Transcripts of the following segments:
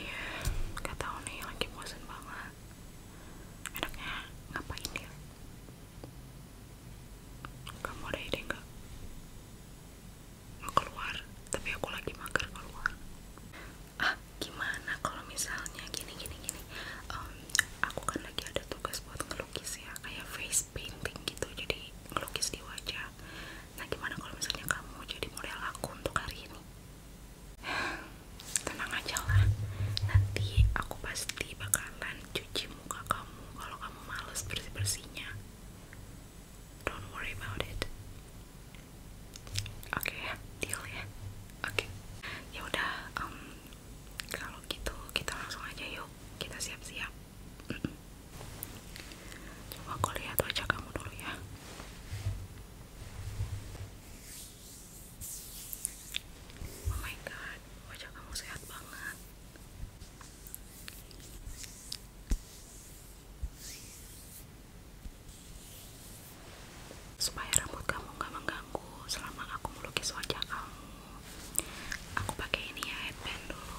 Iya, gak tau lagi bosan banget. Enaknya ngapain dia? Kamu ada ide nggak? Mau keluar, tapi aku lagi mager keluar. Ah, gimana kalau misalnya gini gini gini? Um, aku kan lagi ada tugas buat ngelukis ya, kayak face painting gitu, jadi lukis di wajah nah gimana kalau misalnya kamu jadi model aku untuk hari ini tenang aja lah nanti aku pasti bakalan cuci muka kamu kalau kamu males bersih-bersihnya don't worry about it oke deal ya oke okay. ya udah kalau gitu kita langsung aja yuk kita siap-siap Coba aku lihat wajah kamu dulu ya. Oh my god, wajah kamu sehat banget. Supaya rambut kamu gak mengganggu selama aku melukis wajah kamu, aku pakai ini ya headband dulu.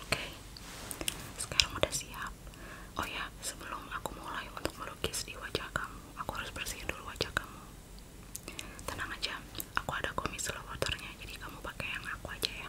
Oke, sekarang udah siap. Oh ya, sebelum aku mulai untuk melukis di wajah kamu, aku harus bersihin dulu wajah kamu. Tenang aja, aku ada komis low waternya, jadi kamu pakai yang aku aja ya.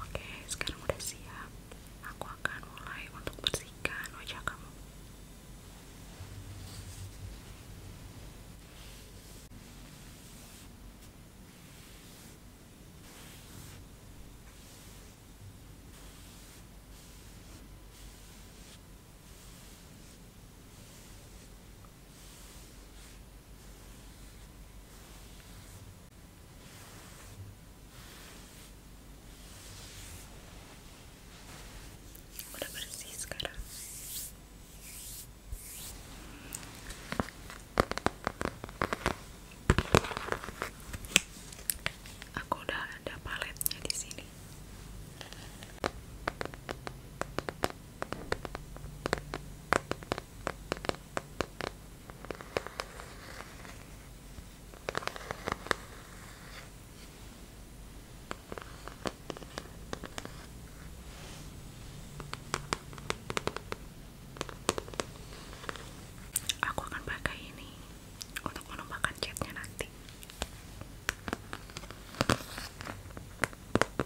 Oke, sekarang udah siap. Aku akan mulai untuk bersihkan wajah kamu udah bersih aku udah ada paletnya di sini Aku akan pakai ini untuk menumpahkan catnya nanti.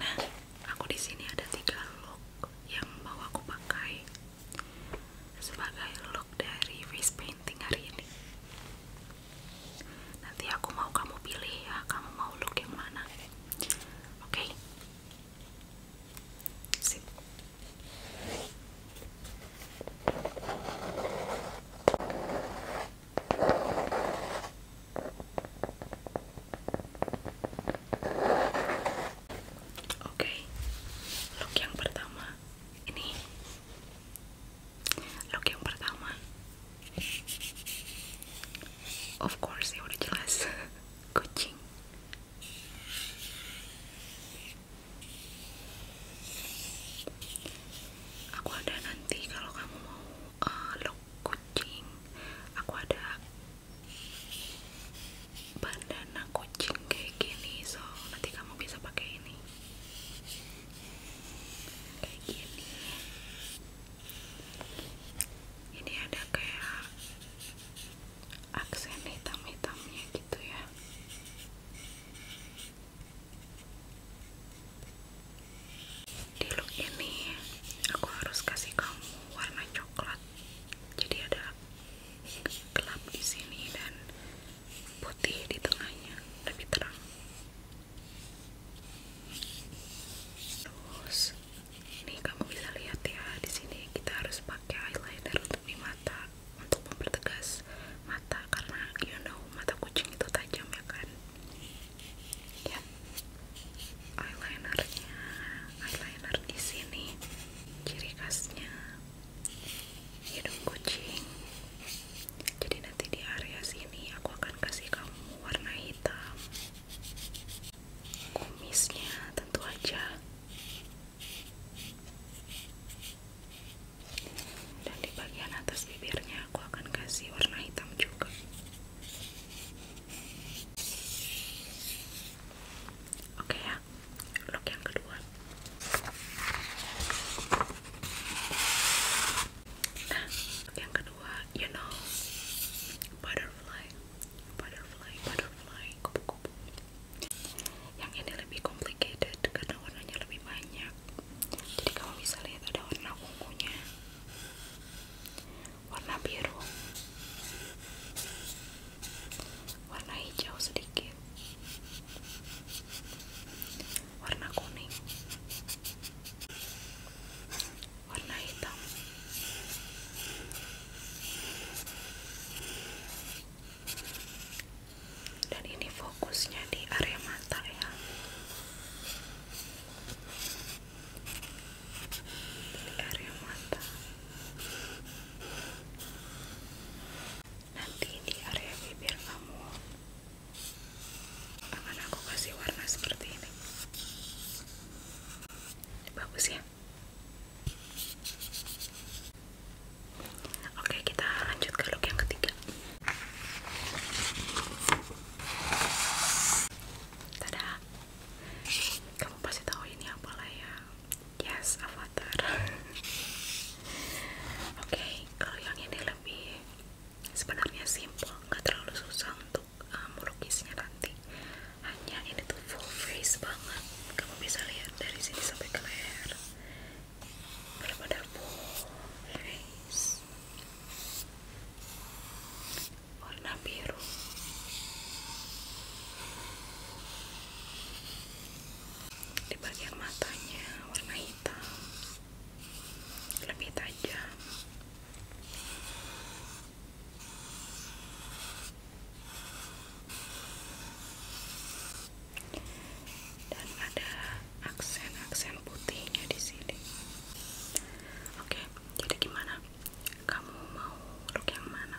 Nah, aku di sini ada tiga look yang bawa aku pakai sebagai look dari face painting hari ini. Nanti aku mau kamu pilih ya, kamu mau look yang mana? Oke. Okay? Oke, look yang pertama ini. Look yang pertama, of course ya udah jelas kucing aku ada nanti kalau kamu mau uh, eh, look kucing aku ada bandana kucing kayak gini so nanti kamu bisa pakai ini kayak gini ini ada kayak aksen hitam-hitamnya gitu ya di look ini aku harus kasih kamu warna coklat jadi ada gelap di sini dan putih di tengahnya lebih terang terus ini kamu bisa lihat ya di sini kita harus pakai eyeliner untuk di mata untuk mempertegas mata karena you know mata kucing itu tajam ya kan ya eyelinernya eyeliner di sini ciri khasnya hidung kucing jadi nanti di area sini aku akan kasih kamu warna hitam kumisnya tentu aja dan di bagian atas bibirnya aku akan kasih warna hitam juga oke ya look yang kedua nah yang kedua you know butterfly butterfly butterfly kupu-kupu yang ini lebih complicated karena warnanya lebih banyak jadi kamu bisa lihat ada warna ungunya warna biru warna hijau sedikit warna kuning warna hitam dan ini fokusnya di area mata ya di area mata nanti di area bibir kamu akan aku kasih warna seperti ini bagus ya Oke, kita lanjut ke look yang ketiga. Tada. Kamu pasti tahu ini apalah ya. Yes, avatar. Oke, kalau yang ini lebih sebenarnya simple, nggak terlalu susah untuk uh, nanti. Hanya ini tuh full face banget. Kamu bisa lihat dari sini sampai ke leher berpadaku guys warna biru di bagian matanya warna hitam lebih tajam dan ada aksen-aksen putihnya di sini. Oke, jadi gimana? Kamu mau look yang mana?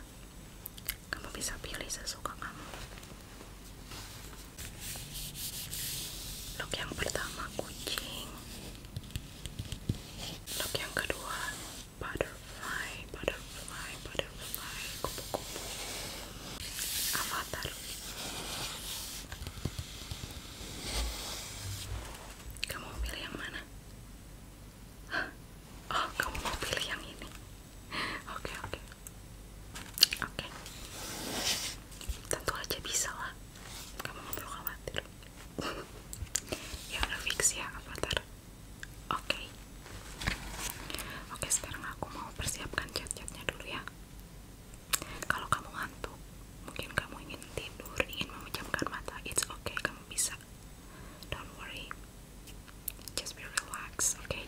Kamu bisa pilih sesuka kamu. Look yang pertama kucing. Look yang kedua butterfly, butterfly, butterfly, kupu-kupu. Avatar. Kamu mau pilih yang mana? Oh, kamu mau pilih yang ini? Oke, oke, oke. Tentu aja bisa lah. Kamu nggak perlu khawatir. ya udah fix ya avatar. Oke. Oke, sekarang aku mau persiapkan chat-chatnya dulu ya. Kalau kamu ngantuk, mungkin kamu ingin tidur, ingin memejamkan mata, it's okay, kamu bisa. Don't worry, just be relaxed, okay?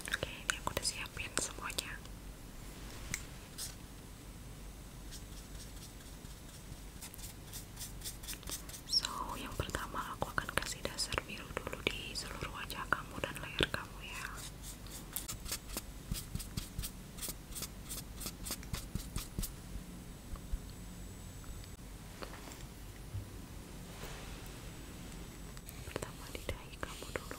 Oke, aku udah siapin semuanya. So, yang pertama aku akan kasih dasar biru dulu di seluruh wajah kamu dan leher kamu ya. Pertama di dahi kamu dulu.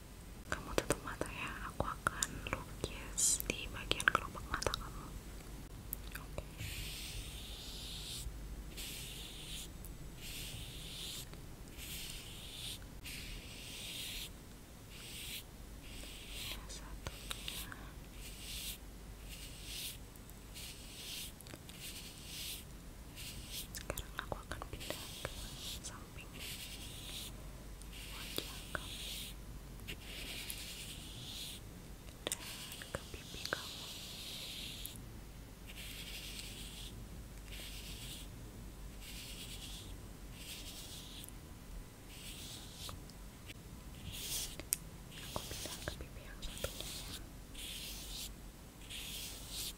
Kamu tutup mata ya, aku akan lukis di bagian kelopak mata kamu sekarang aku akan pindah ke samping wajah kamu dan ke pipi kamu aku pindah ke pipi yang satunya ya.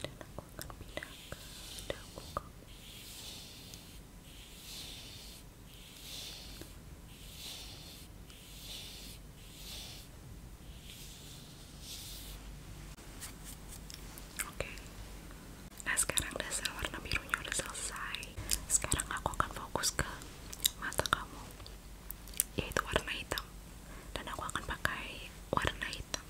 dan aku akan pindah ke dagu kau Oke, nah sekarang dasar warna birunya udah selesai. Sekarang aku akan fokus ke mata kamu, yaitu warna hitam, dan aku akan pakai warna hitam.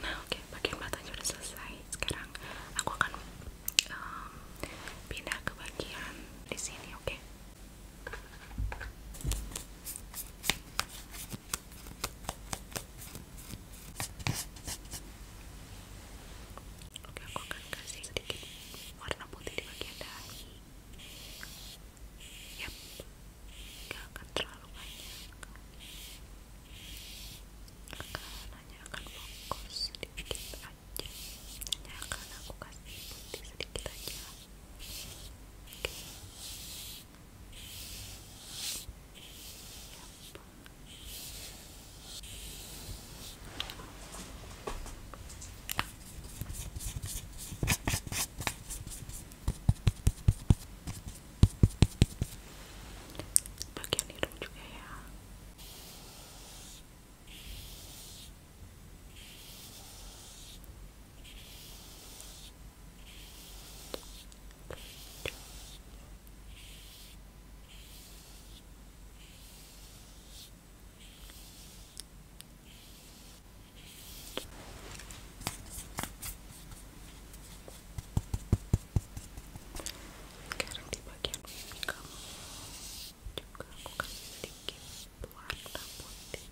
Nah, oke, okay, bagian matanya udah selesai. Sekarang aku akan pindah ke bagian di sini, oke? Oke, aku akan kasih sedikit warna putih di bagian dahi. ya, gak akan terlalu banyak. Akan hanya akan fokus sedikit aja. nanya akan aku kasih putih sedikit aja. Oke bagian hidung juga ya sekarang di bagian kamu juga aku kasih sedikit warna putih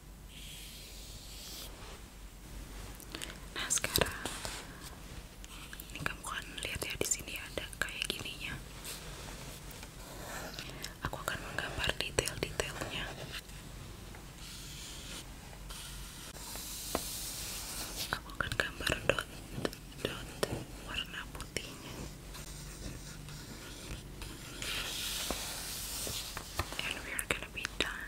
Nah sekarang ini kamu kan lihat ya di sini ada kayak gininya. Aku akan menggambar detail-detailnya. Aku akan gambar dot dot warna putihnya. And we are gonna be done.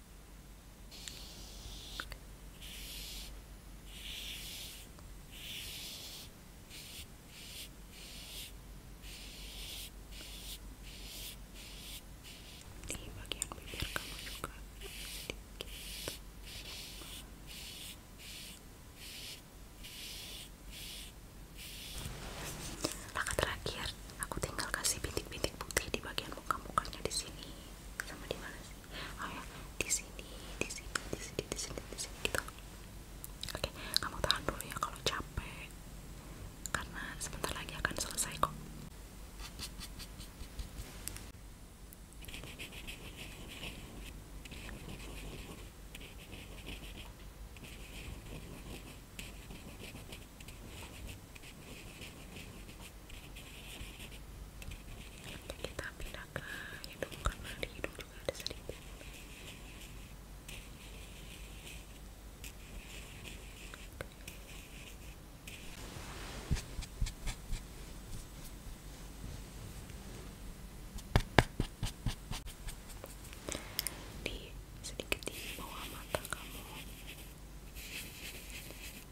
di bagian bibir kamu juga sedikit langkah terakhir aku tinggal kasih bintik-bintik putih di bagian muka-mukanya di sini sama di mana Oh ya, di sini di sini di sini di sini di sini gitu oke kamu tahan dulu ya kalau capek karena sebentar lagi akan selesai kok kita pindah ke hidung karena di hidung juga ada sedikit di sedikit di bawah mata kamu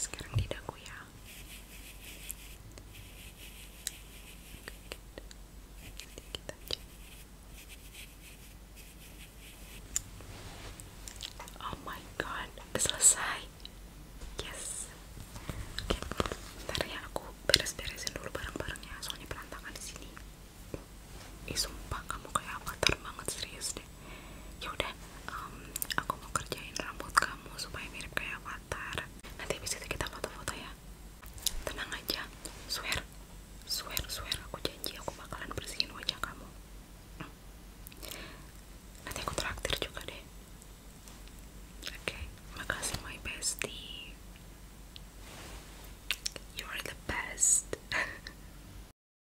Sekarang di dagu ya. Oh my god, selesai. Yes. Oke, okay. Ya aku beres-beresin dulu barang-barangnya, soalnya berantakan di sini. Ih, sumpah kamu kayak avatar banget serius deh. Yaudah, aku mau kerjain rambut kamu supaya mirip kayak Watar. nanti habis itu kita foto-foto ya tenang aja swear swear swear aku janji aku bakalan bersihin wajah kamu nanti aku traktir juga deh oke makasih my bestie you are the best